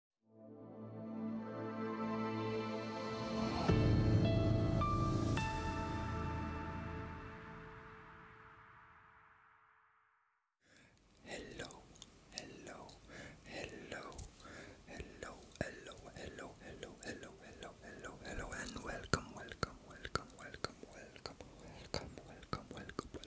Hello, hello, hello, hello, hello, hello, hello, hello, hello, hello, hello, and welcome, welcome, welcome, welcome, welcome, welcome, welcome, welcome,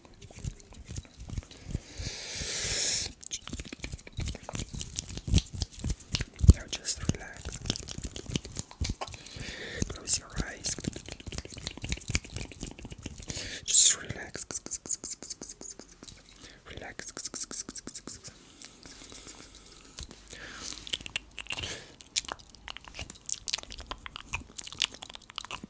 now just relax. Close your eyes. Just relax. Relax.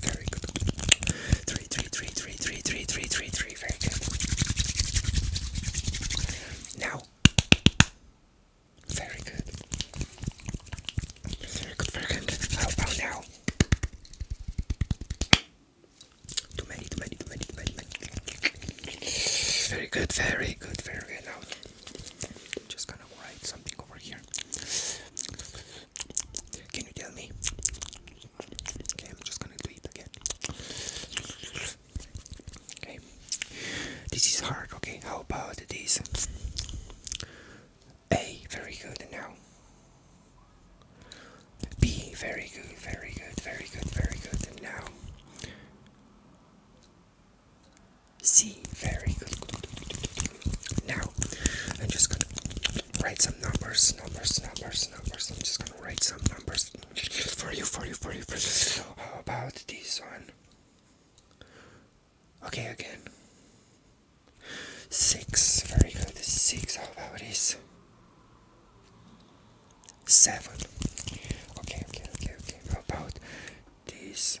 Very good. Three, three, three, three, three, three, three, three, three. Very good. Now. Very good. Very good, very good. How about now? Too many, too many, too many, too many, too many. Very good, very good, very good. Now, just gonna write something over here. Can you tell me Okay, I'm just gonna do it again. Okay, this is hard. Okay, how about this? A, very good now. B, very good, very good, very good, very good now. C, very good. Now, I'm just gonna write some numbers, numbers, numbers, numbers. I'm just gonna write some numbers for you, for you, for you, for you. How about this one? Okay, again. Six, very good. Six, how about this? Seven. Okay, okay, okay, okay. How about this?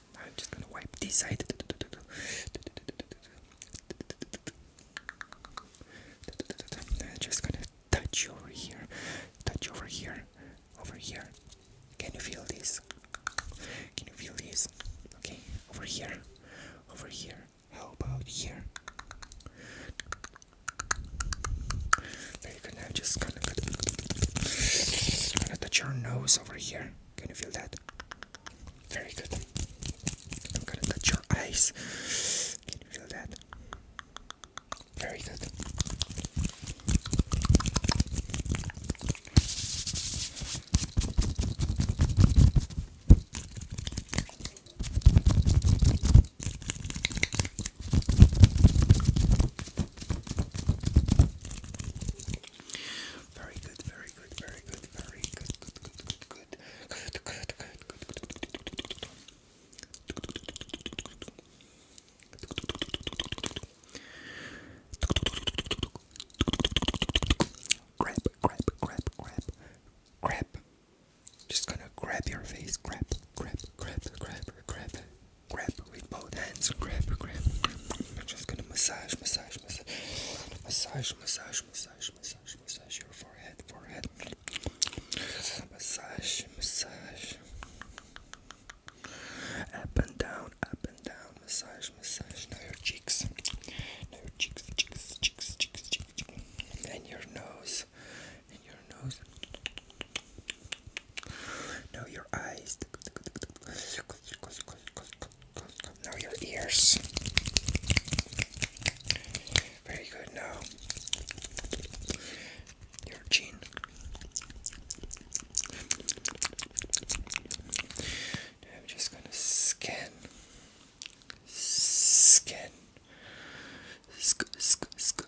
I'm just gonna wipe this side. I'm just gonna touch over here, touch over here, over here. Can you feel this? Can you feel this? Okay, over here, over here. How about here? Very good. Now just gonna, gonna touch your nose over here. Can you feel that? Very good. I'm gonna touch your eyes. Can you feel that? Very good. Very good, very good, very good, very good, good, good, good, good, good, good, good, good. Grab, grab, grab, grab, grab. Just gonna grab your face. Grab, grab, grab, grab, grab, grab with both hands. Grab, grab, grab. I'm just gonna massage, massage, massage, massage, massage, massage, massage, massage your forehead, forehead. Massage, massage. Up and down, up and down. Massage, massage. Now your cheeks. Now your cheeks, cheeks, cheeks, cheeks, cheeks, cheeks. and your nose, and your nose. Now your eyes. Now your ears. Very good. Now your chin. I'm just gonna scan, scan, sc sc sc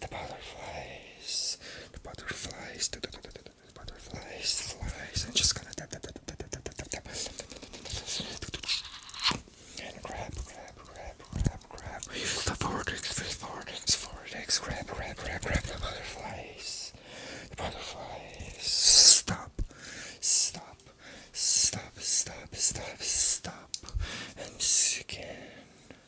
the butterflies, the butterflies, the butterflies, flies. I'm just gonna tap, tap, tap, tap, tap, tap, tap, tap, and grab, grab, grab, grab, grab the vortex, the vortex, vortex, grab, grab, grab, grab the butterflies, the butterflies. Stop, stop, stop, stop, stop, stop, and skin